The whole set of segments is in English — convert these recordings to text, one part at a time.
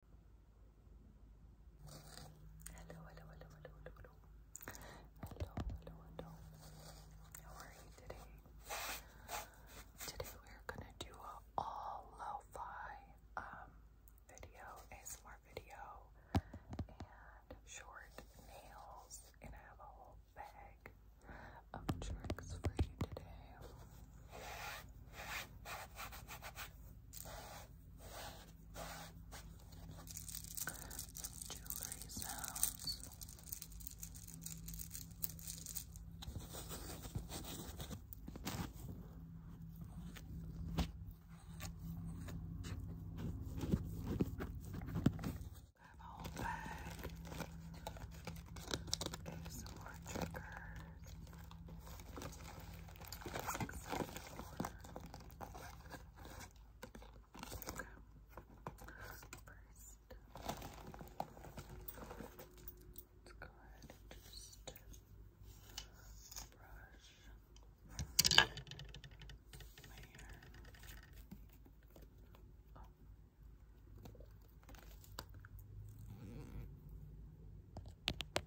Hello, hello, hello, hello, hello, hello. Hello, hello, hello. How are you today? Today we're gonna do a all lo-fi um video, ASMR video, and short nails, and I have a whole bag of tricks for you today. Some jewelry sounds. I a bag. Okay, some more triggers let's go ahead and just brush my hair. Oh. There's Last.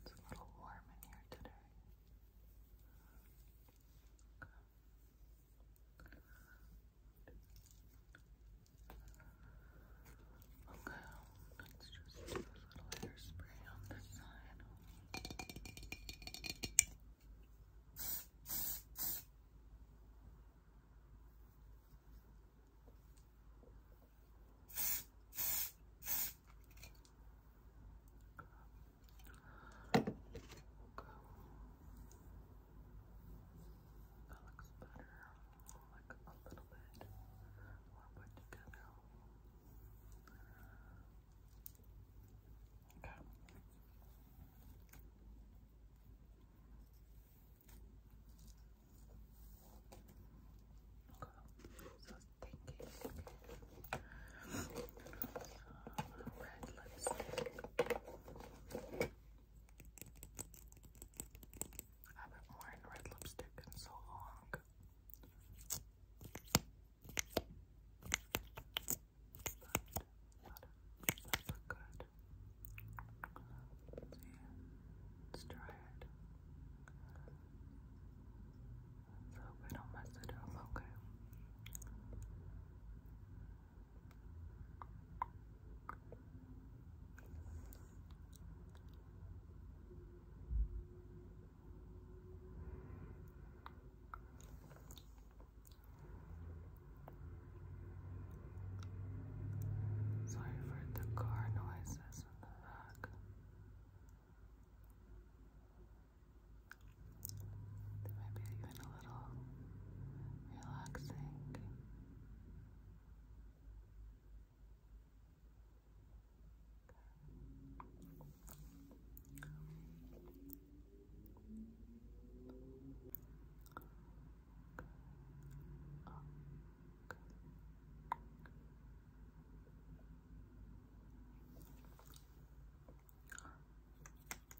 It's a little warm in here today. Okay, let's just do a little hairspray on this side. Okay. looks better, like a little bit more put together. Okay. Okay. So thinking red lipstick. I haven't worn red lipstick in so long work. But Let's try it. So we don't mess it up, okay? Sorry for the car noises in the back. They might be even a little Relaxing. Oh,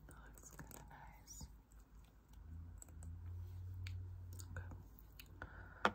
it's kind of nice. Okay.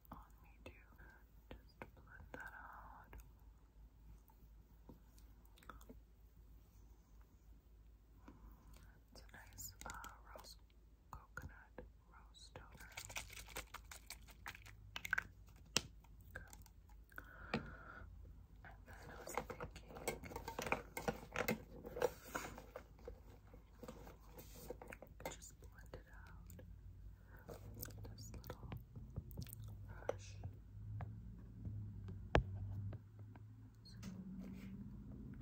on me to just blend that out. It's a nice uh, rose coconut rose toner. And then I was thinking. Just blend it out with this little brush. Just blend a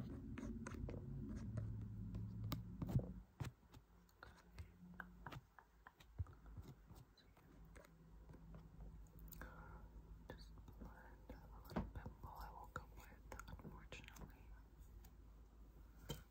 little pimple I woke up with, unfortunately.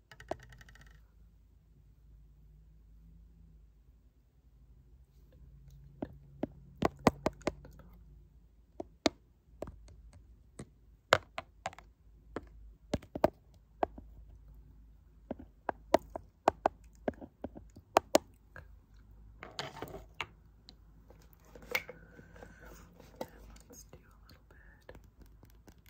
Let's do a little bit.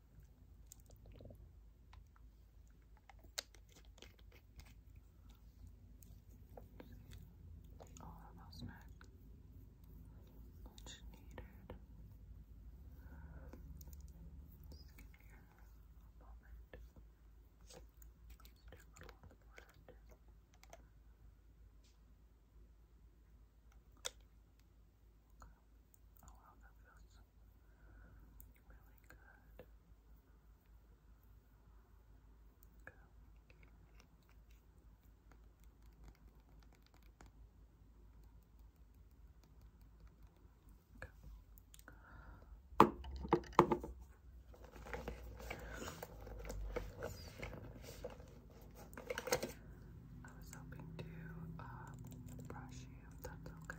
all of those needed a moment let a little on the forehead Okay. Oh wow, that feels Really good. Go. Go. I was hoping to uh, brush you if that's okay.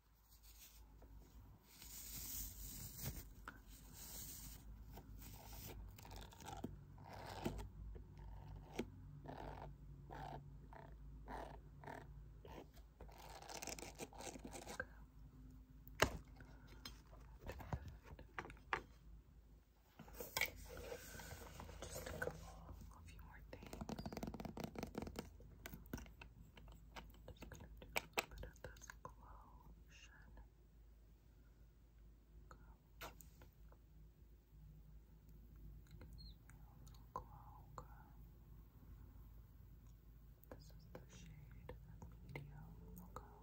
Just a couple, a few more things. Just gonna do a little bit of this glotion. Glow. Glow, glow. This is the shade medium. Okay.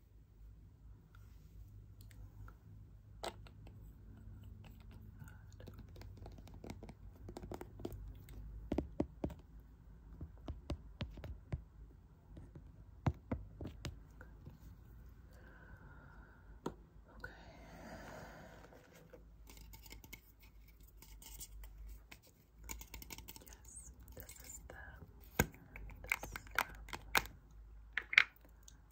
Okay. Yes, this is the, the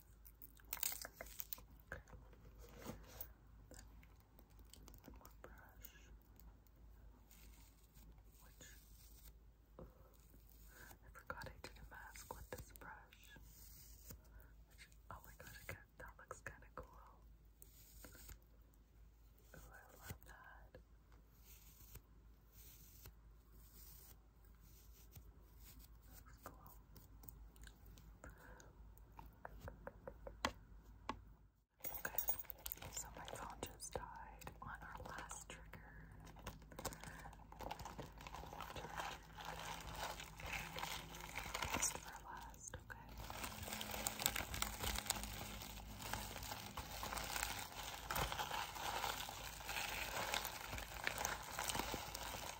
Okay. Then more brush, which I forgot I did a mask with this brush. oh my gosh, that looks kind of cool. Oh, I love that. Okay, so my phone just died on our last trigger. Best for last, Okay,